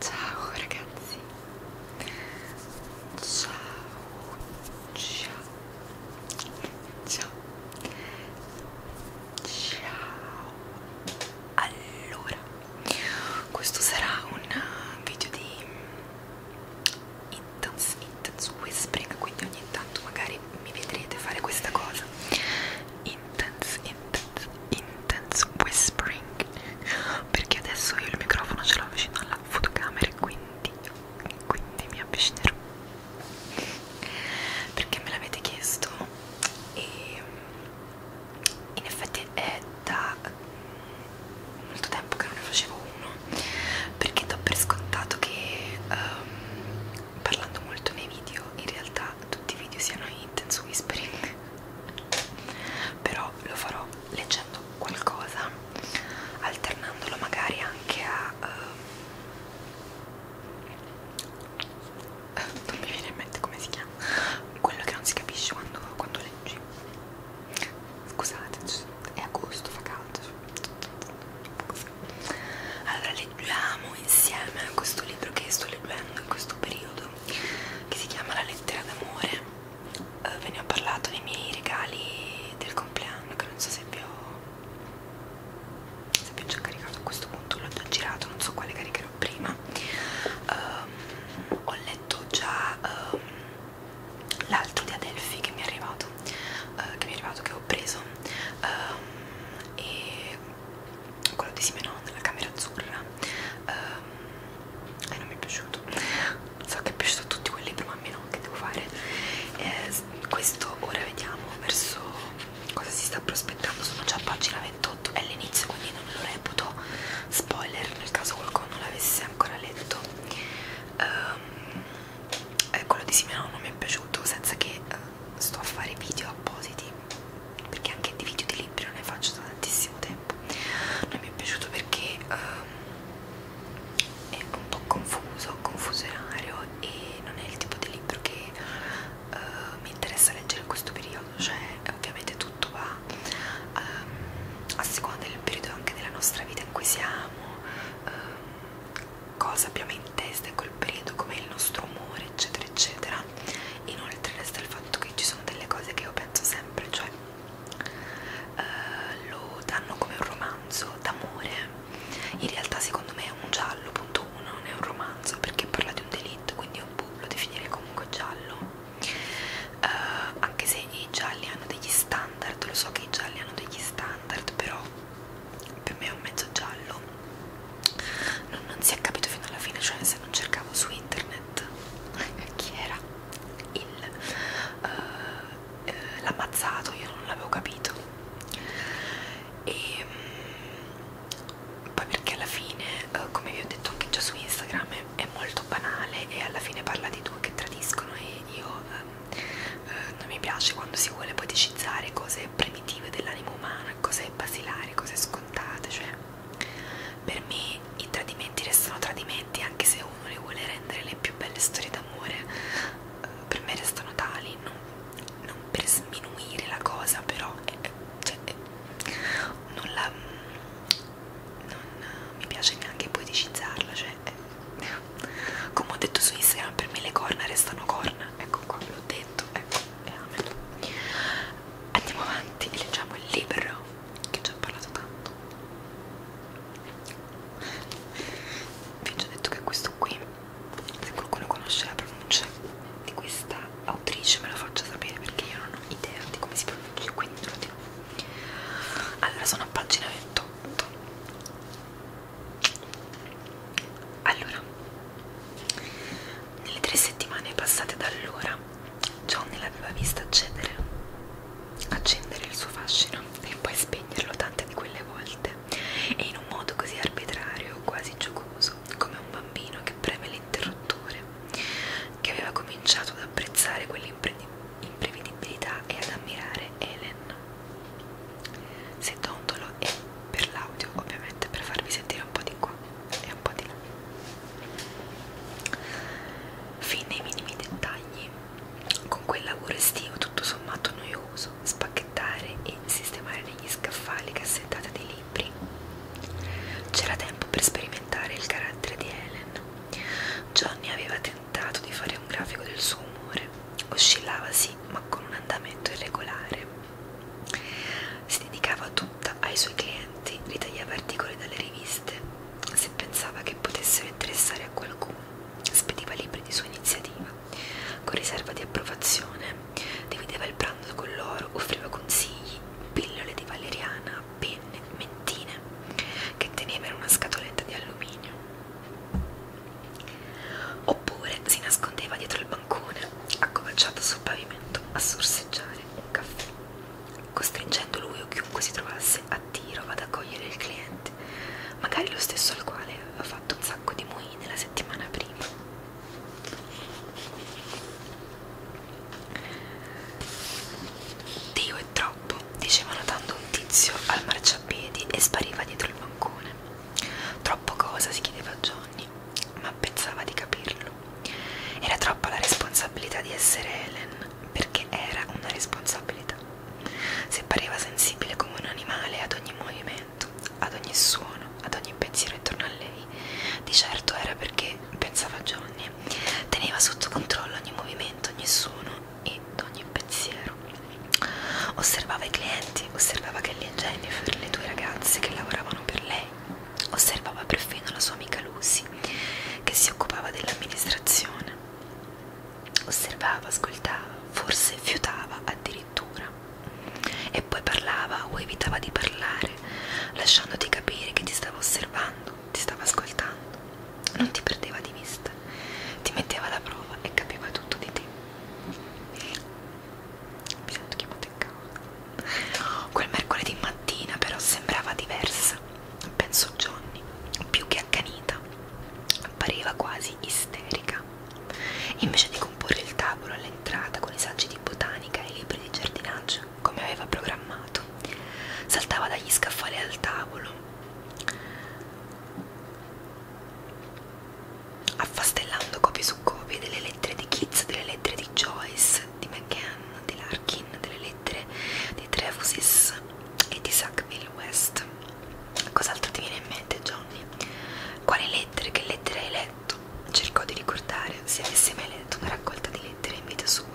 Ciao ragazzi. Ciao. Ciao. Ciao. Ciao. Allora, questo sarà un video di intense, intense whispering, quindi ogni tanto magari mi vedrete fare questa cosa in intense, intense, intense whispering perché adesso io il microfono ce l'ho vicino alla fotocamera e quindi, quindi mi avvicinerò perché me l'avete chiesto e in effetti è da molto tempo che non ne facevo uno perché do per scontato che um, parlando molto nei video in realtà tutti i video siano intense whispering però lo farò leggendo qualcosa alternandolo magari anche a uh, non mi viene in mente come si chiama quello che non si capisce quando, quando leggi scusate è agosto fa caldo allora leggiamo insieme questo libro che sto leggendo in questo periodo che si chiama La lettera d'amore. Eh, ve ne ho parlato nei miei regali del compleanno che non so se vi ho, se vi ho già caricato a questo punto, l'ho già girato, non so quale caricherò prima. Um, ho letto già um, l'altro di Adelphi che mi è arrivato, uh, che mi è arrivato che ho preso. Um, e quello di Simenon, la camera azzurra e eh, non mi è piaciuto so che è piaciuto a tutti quel libro ma a me no, che devo fare eh, questo ora vediamo verso cosa si sta prospettando sono già a pagina 28 è l'inizio quindi non lo reputo spoiler nel caso qualcuno non l'avesse ancora letto ehm, eh, quello di Simenon non mi è piaciuto senza che eh, sto a fare video appositi perché anche di video di libri non ne faccio da tantissimo tempo non mi è piaciuto perché um, è un po' confuso confusionario e non è il tipo di libro che uh, mi interessa leggere in questo periodo cioè ovviamente tutto va um, a seconda del periodo anche della nostra vita in cui siamo um, cosa abbiamo in testa in quel periodo, come il nostro umore, eccetera, eccetera. Inoltre resta il fatto che ci sono delle cose che io penso sempre, cioè eh, lo danno come un romanzo d'amore. In realtà secondo me è un giallo, punto uno, non è un romanzo perché parla di un delitto, quindi un boh, lo definirei comunque giallo. Eh, anche se i gialli hanno degli standard, lo so che i gialli hanno degli standard, però più o meno mezzo giallo non, non si è capito fino alla fine cioè se non cercavo su internet chi era il uh, uh, l'ammazzato io non l'avevo capito e um, poi perché alla fine uh, come vi ho detto anche già su Instagram è, è molto banale e alla fine parla di due che tradiscono e io um, eh, non mi piace quando si vuole poticizzare cose primitive dell'animo umano, cose basilari, cose scontate, cioè per me i tradimenti restano tradimenti anche se uno le vuole rendere le più belle storie d'amore, eh, per me restano tali, non, non per sminuire la cosa, però eh, eh cioè, eh, non la mm, non eh, mi piace neanche poeticizzarla, cioè eh. come ho detto su Instagram per me le corna restano corna, ecco qua l'ho detto ametto, ecco, è ametto. Andiamo avanti e leggiamo il libro che ci ha parlato tanto. Vi ho già detto che questo qui, se qualcuno conosce la pronuncia di questa autrice me lo faccia sapere perché io non ho idea di come si pronuncia, quindi non lo dico. Allora sono a pagina 28 allora, nelle tre settimane passate da allora, Johnny l'aveva vista accedere, accendere il suo fascino e poi spegnerlo tante di quelle volte, e in un modo così arbitrario, quasi giocoso, come un bambino che preme l'interruttore, che aveva cominciato ad apprezzare quell'imprevedibilità e ad ammirare Helen settondolo e per l'audio ovviamente per farvi sentire un po' di qua e un po' di là fin nei minimi dettagli con quel lavoro estivo tutto sommato noioso spacchettare e sistemare negli scaffali cassettate dei libri c'era tempo per sperimentare il carattere di Helen Johnny aveva tentato di fare un grafico del suo umore oscillava sì, ma con un andamento irregolare. Si dedicava tutta ai suoi clienti, ritagliava articoli dalle riviste, se pensava che potessero interessare a qualcuno, spediva libri di sua iniziativa, con riserva di approvazione, divideva il pranzo con loro, offriva consigli, pillole di valeriana, penne, mentine, che teneva in una scatoletta di alluminio. Oppure si nascondeva dietro il bancone, accovacciato sul pavimento, a sorseggiare un caffè, costringendo lui o chiunque si trovasse a tiro ad accogliere il cliente, magari lo stesso al quale aveva fatto un sacco di moine la settimana prima. Dio è troppo, diceva notando un tizio al marciapiedi e spariva dietro il bancone. Troppo cosa si chiedeva a Johnny, ma pensava di capirlo. Era troppa la responsabilità di essere Helen, perché era una responsabilità. Se pareva sensibile come un animale ad ogni movimento, ad ogni suono, ad ogni pensiero intorno a lei, di certo era perché, pensava Johnny, teneva sotto controllo ogni movimento, ogni suono ed ogni pensiero. Osservava i clienti, osservava Kelly e Jennifer, le due ragazze che lavoravano per lei, osservava perfino la sua amica Lucy che si occupava dell'amministrazione. Osservava, ascoltava, forse fiutava addirittura e poi parlava o evitava di parlare, lasciandoti capire che ti stava osservando, ti stava ascoltando. Non ti perdeva di vista, ti metteva alla prova e capiva tutto di te mi sento chiamata in causa quel mercoledì mattina però sembrava diversa pensò Johnny più che accanita appariva quasi isterica invece di comporre il tavolo all'entrata con i saggi di botanica e i libri di giardinaggio come aveva programmato saltava dagli scaffali al tavolo affastellando copie su copie delle lettere di Keats, delle lettere di Joyce, di McCann, di Larkin, delle lettere di Trefusis e di Sackville West. Cos'altro ti viene in mente, Johnny? Quali lettere? Che lettere hai letto? Cercò di ricordare se avesse mai letto una raccolta di lettere in vita sua.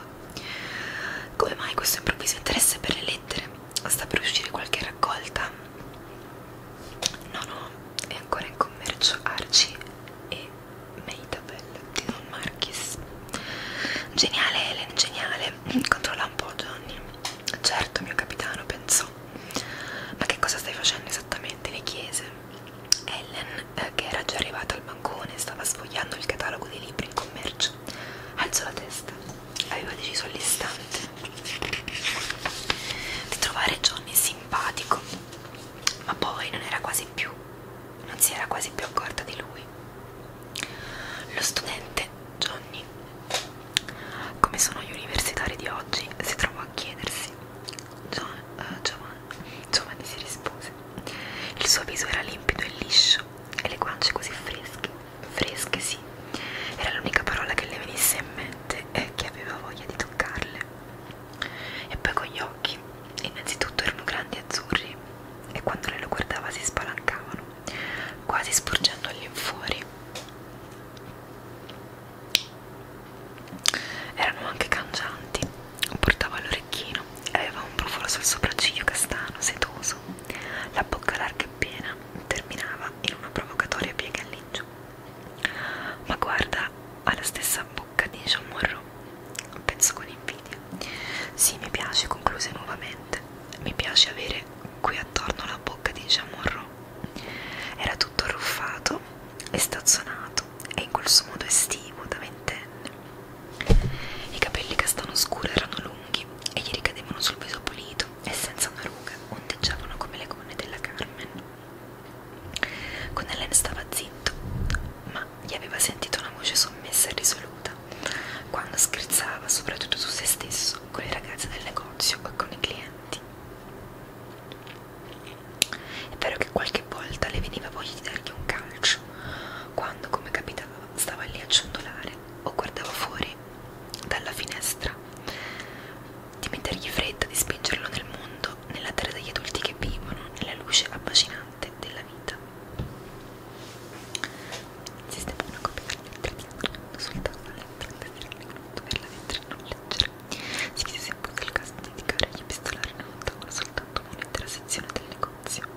Come mai questo improvviso interesse per le lettere? Sta per uscire qualche raccolta? No, no, è ancora in commercio Arci e Maitabel di Don Marquis. Geniale Helen, geniale. Controlla un po' Johnny. Certo, mio capitano, pensò. Ma che cosa stai facendo esattamente? Le chiese. Helen, eh, che era già arrivata al bancone, stava sfogliando il catalogo dei libri in commercio. Alzò la testa avevo deciso all'istante di trovare Johnny simpatico, ma poi non era quasi più, non si era quasi più accorta di lui. Lo studente Johnny, come sono gli universitari di oggi, si trovò a chiedersi. John, uh, eh, Giovanni, Giovanni si rispose. Il suo viso era limpido e liscio e le guance così fresche fresche sì era l'unica parola che le venisse in mente e che aveva voglia di toccarle e poi con gli occhi innanzitutto erano grandi e azzurri e quando lei lo guardava si spalancavano quasi sporgendo all'infuori erano anche cangianti portava l'orecchino e aveva un profilo sul sopracciglio castano setoso la bocca larga e appena terminava in una provocatoria piega all'ingiù. Ma guarda alla stessa bocca di Jean Monroe, penso con invidia. Sì, mi piace, concluse nuovamente. Mi piace avere qui attorno la bocca di Jean Monroe. Era tutto arruffato e stazzonato e in quel suo modo estivo da ventenne. I capelli castano scuro erano lunghi e gli ricadevano sul viso pulito e senza una ruga ondeggiavano come le gonne della Carmen. Connellen stava zitto, ma gli aveva sentito una voce sommessa e risoluta quando scherzava soprattutto su se stesso, con le ragazze del negozio e con i clienti. È vero che qualche volta le veniva voglia di dargli un calcio, quando, come capitava, stava lì a ciondolare o guardava fuori fuori dalla finestra, di mettergli fretta, di spingerlo nel mondo, nella terra degli adulti che vivono, nella luce affascinante della vita. Sistema una copia delle lettere di una soltanto la lettera per la lettera non leggere. Si chiede se è possibile il caso di dedicare agli epistolari in un tavolo soltanto un'intera sezione del negozio.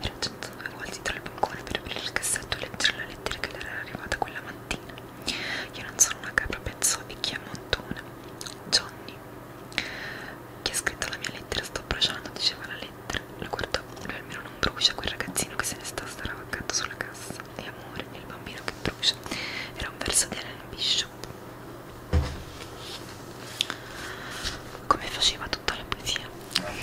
Era 109 volte tra il bancone per aprire il cassetto e leggere la lettera che le era arrivata quella mattina. Io non sono una capra pezzola e chi è montone? Johnny, chi ha scritto la mia lettera sto bruciando, diceva la lettera. Lo guardò, lui almeno non brucia, quel ragazzino che se ne sta staravaccato sulla cassa. E amore, il bambino che brucia. Era un verso di Ellen Bishop. Come faceva tutta la poesia? Come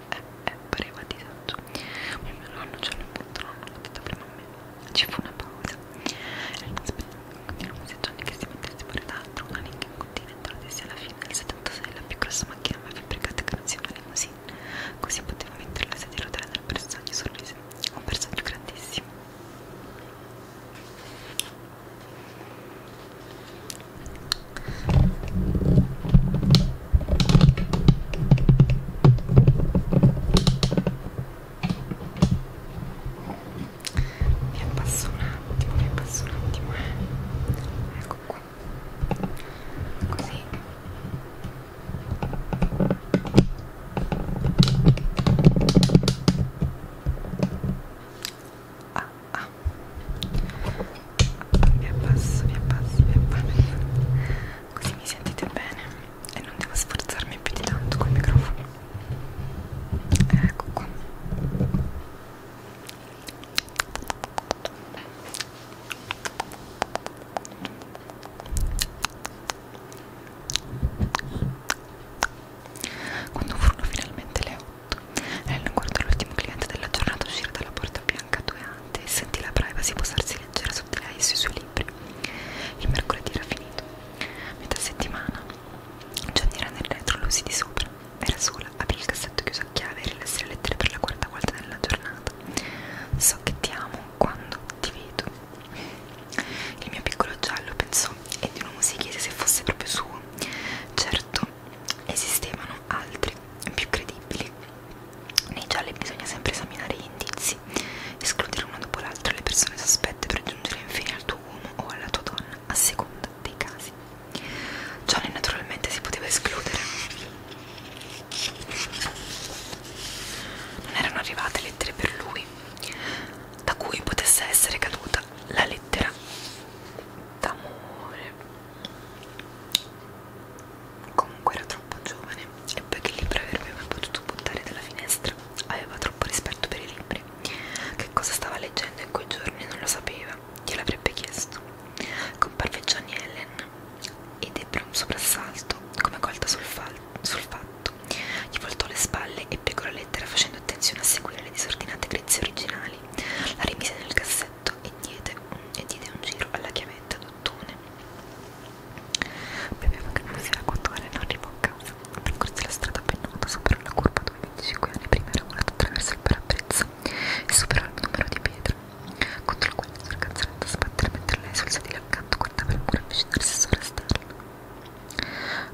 è, è pareva di disagio ma mio nonno ce l'ha buttato, l'ha detto prima a me ci fu una pausa e continuò museggiando che si mettesse pure d'altro una Lincoln Continental sia alla fine del 76 la più grossa macchina mai fabbricata che non sia una limousine così poteva mettere la sedia a rotelle nel bersaglio sorrise un bersaglio grandissimo mi appasso un attimo mi appasso un attimo eh. ecco qua così ah, ah, vi abbasso, vi abbasso, vi abbasso così mi sentite bene e non devo sforzarmi più di tanto col microfono ecco qua quando furono finalmente le 8 Ellen guardò l'ultimo cliente della giornata uscire dalla porta bianca due anni amante e sentì la privacy posarsi leggera su di lei e sui suoi libri. Il mercoledì era finito. Metà settimana, Johnny era nel retro, Lucy di sopra. Era sola, aprì il cassetto chiuso a chiave e rilassi le lettere per la quarta volta nella giornata. So che ti amo quando ti vedo. Il mio piccolo giallo pensò e di nuovo si chiese se fosse proprio suo. Certo, esistevano altri più credibili. Nei gialli bisogna sempre esaminare gli indizi, escludere uno dopo l'altro le persone sospette per giungere infine al tuo uomo o alla tua donna, a seconda dei casi. Johnny naturalmente si poteva escludere. Non erano arrivate lettere per lui, da cui potesse essere caduta la lettera d'amore Comunque era troppo giovane e poi che libro avrebbe mai potuto buttare dalla finestra? Aveva troppo rispetto per i libri. Che cosa stava leggendo in quei giorni non lo sapeva, gliel'avrebbe chiesto. Comparve Johnny Ellen ed ebbe un soprassalto, come colta sul, sul fatto. Gli voltò le spalle e piegò la lettera facendo attenzione a seguire le disordinate grezze originali. La rimise nel cassetto cassetto e diede, e diede un giro alla chiavetta d'ottone. Bevevo che fosse a quattro ore non arrivò a casa. Percorsi la strada pennuta, superò la curva dove 25 anni prima era volato attraverso il parabrezza e superò il numero di pietra. Contro la quale mi sono cancellata a sbattere mentre lei sul sedile accanto guardava il muro avvicinarsi a sorresterlo.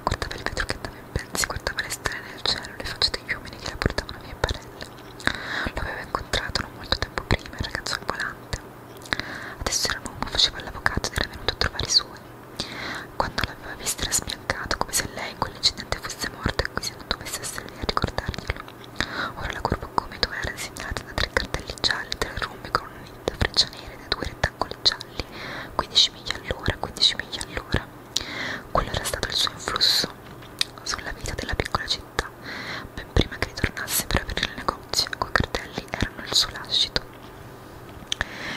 Guardava il vetro che andava in pezzi, guardava le stelle nel cielo, le facce degli uomini che la portavano via in barella. L'avevo incontrato non molto tempo prima, il ragazzo ambulante. Adesso era l'uomo, faceva l'avvocato ed era venuto a trovare i suoi. Quando l'aveva vista era sbiancato, come se lei in quell'incidente fosse morta e quindi non dovesse essere lì a ricordarglielo. Ora la curva gomito era disegnata da tre cartelli gialli, tre rumbi con un'inta freccia nera e da due rettangoli gialli, 15 miglia all'ora, 15 miglia all'ora. Quello era stato il suo influsso sulla vita della piccola città, ben prima che ritornasse per aprire il negozio, quei cartelli erano il suo lascito.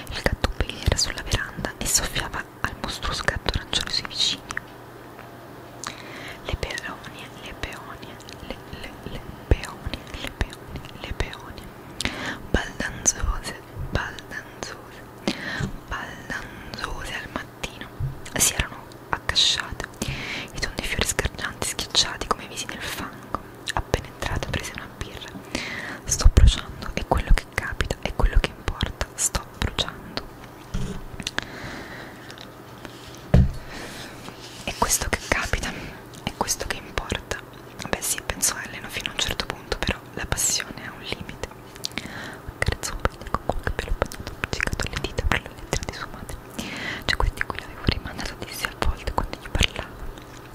Il gattuppi era sulla veranda e soffiava al mostruoso gatto arancione sui vicini. Le peonie, le peonie, le, le, le peonie, le peonie, le peonie, baldanzose, baldanzose, baldanzose al mattino mattino si erano accasciate i tondi fiori sgargianti schiacciati come visi nel fango. Appena entrata prese una birra. Sto bruciando, è quello che capita, è quello che importa. Sto bruciando. È questo che capita, è questo che importa. Beh sì, penso a Elena fino a un certo punto, però la passione ha un limite. Carezzo un pennello con qualche pelo bagnato appiccicato alle dita per la lettera di sua madre. Cioè questi qui l'avevo rimandato dissi a volte quando gli parlavo.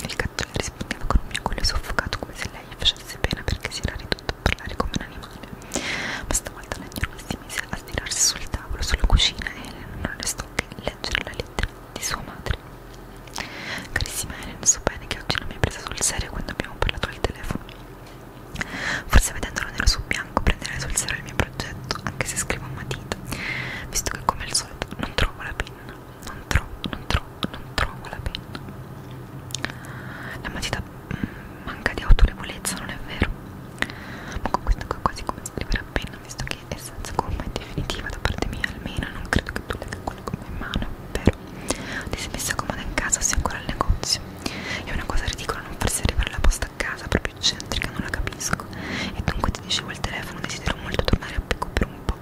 Il cattone rispondeva con un miagolio soffocato come se lei gli facesse pena perché si era ridotto a parlare come un animale. Ma stavolta la gnoma si mise a stirarsi sul tavolo, sulla cucina e Helen non restò che leggere la lettera di sua madre. Carissima Helen, so bene che oggi non mi hai preso sul serio quando abbiamo parlato al telefono. Forse vedendolo nero su bianco prenderei sul serio il mio progetto, anche se scrivo a matita, visto che come al solito non trovo la penna, non trovo, non trovo, non trovo la penna. La matita mh, mm, manca di autorevolezza, non è vero? Ma con questa qua quasi come scrivere a penna, visto che è senza gomma, è definitiva da parte mia almeno, non credo che tu legga quello con in mano, è vero? Ti sei messa comoda in casa o sei ancora al negozio? È una cosa ridicola non farsi arrivare la posta a casa, proprio eccentrica, non la capisco. E dunque ti dicevo al telefono, desidero molto tornare a picco per un po'.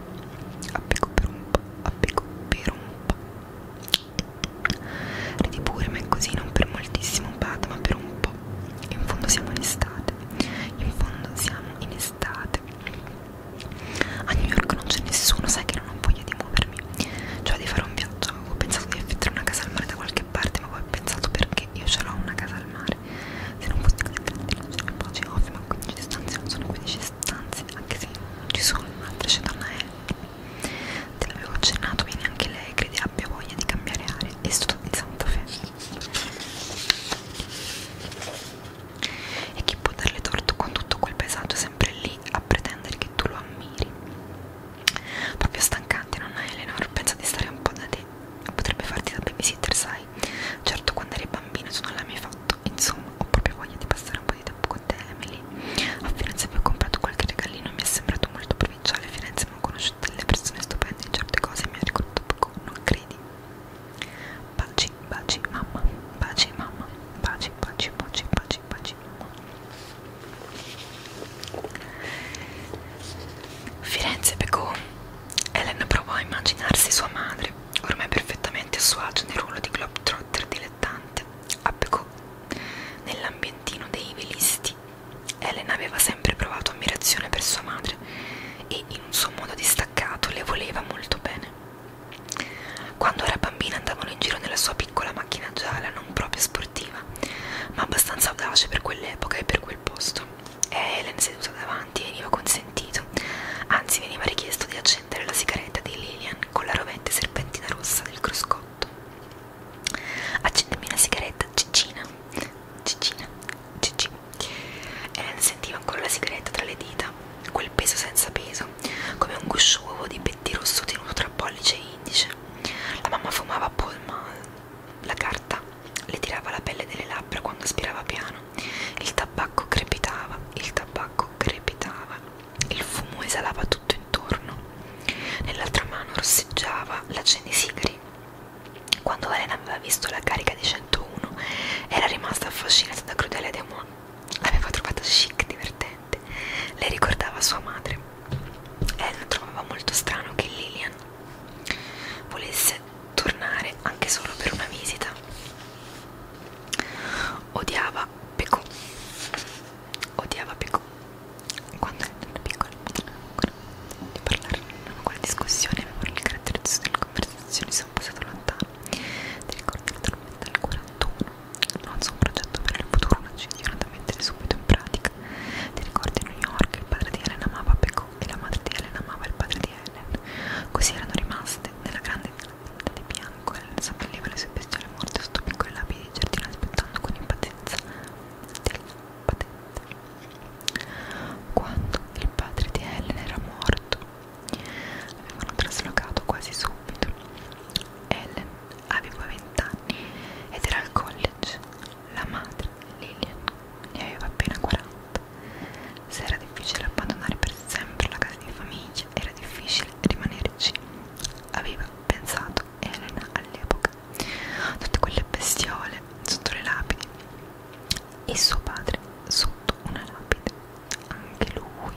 A picco per un po', a picco per un po'. Ridi pure, ma è così, non per moltissimo pat, ma per un po'. E in fondo siamo in estate. In fondo siamo in estate. A New York non c'è nessuno, sai che non ho voglia di muovermi. Cioè di fare un viaggio periodo avevo pensato di affittare una casa al mare da qualche parte ma poi ho pensato perché io ce l'ho una casa al mare se non fosse così grande non ce ne posso ovvio ma 15 stanze non sono 15 stanze anche se ci sono un'altra c'è donna è te l'avevo accennato viene anche lei crede abbia voglia di cambiare aria e sto di Santa Fe e chi può darle torto con tutto quel paesaggio sempre lì a pretendere che tu lo ammiri proprio stancanti, nonna Eleanor, pensa di stare un po' da te, potrebbe farti da babysitter, sai, certo quando eri bambino tu non l'hai mai fatto, insomma, ho proprio voglia di passare un po' di tempo con te, Emily, a Firenze vi ho comprato qualche regalino, mi è sembrato molto provinciale, a Firenze mi ho conosciuto delle persone stupende in certe cose, mi ha ricordato poco, non credi? Baci, baci, mamma, baci, mamma, baci, baci, baci, baci, Firenze pecò. Helen provò a immaginarsi sua madre, ormai perfettamente a suo agio nel ruolo di globetrotter dilettante, a Pecò, nell'ambientino dei velisti. Helen aveva sempre provato ammirazione per sua madre e in un suo modo distaccato le voleva molto bene. Quando era bambina andavano in giro nella sua piccola macchina gialla non proprio sportiva, ma abbastanza audace per quell'epoca e per quel posto. E Helen seduta davanti veniva consentito, anzi veniva richiesto di accendere la sigaretta di Lillian con la rovente serpentina rossa del cruscotto. Accendimi una sigaretta, Cicina, Cicina, Cici. Helen sentiva ancora la sigaretta tra le dita, quel peso senza peso, come un guscio uovo di pettirosso tenuto tra pollice e indice. La mamma fumava Paul Mall. La carta le tirava la pelle delle labbra quando aspirava piano. Il tabacco crepitava, il tabacco crepitava. Il fumo esalava tutto intorno. Nell'altra mano rosseggiava la cenesigari. Quando Elena aveva visto la carica di 101, era rimasta affascinata da Crudele Deumont. L'aveva trovata chic, divertente sorridente, le ricordava sua madre e lo trovava molto strano che Lillian volesse tornare anche solo per una visita. Odiava Pecco, odiava Pecco quando era piccola, di parlare in una quale discussione, ma il carattere delle conversazioni sono passato lontano. Ti ricordi la tormenta del 41? lancio un progetto per il futuro, una decisione da mettere subito in pratica. Ti ricordi a New York, il padre di Helen amava Pecco e la madre di Helen amava il padre di Helen. Così erano rimaste nella grande villa di bianco. Helen seppelliva le sue bestiole morte sotto piccole lapidi di giardino aspettando con impazienza del patente. Quando il padre di Helen era morto, avevano traslocato quasi subito Ellen aveva 20 anni ed era al college. La madre, Lillian, ne aveva appena 40. Se era difficile abbandonare per sempre la casa di famiglia, era difficile rimanerci. Aveva pensato Elena all'epoca. Tutte quelle bestiole sotto le lapidi. E suo padre sotto una lapide. Anche lui.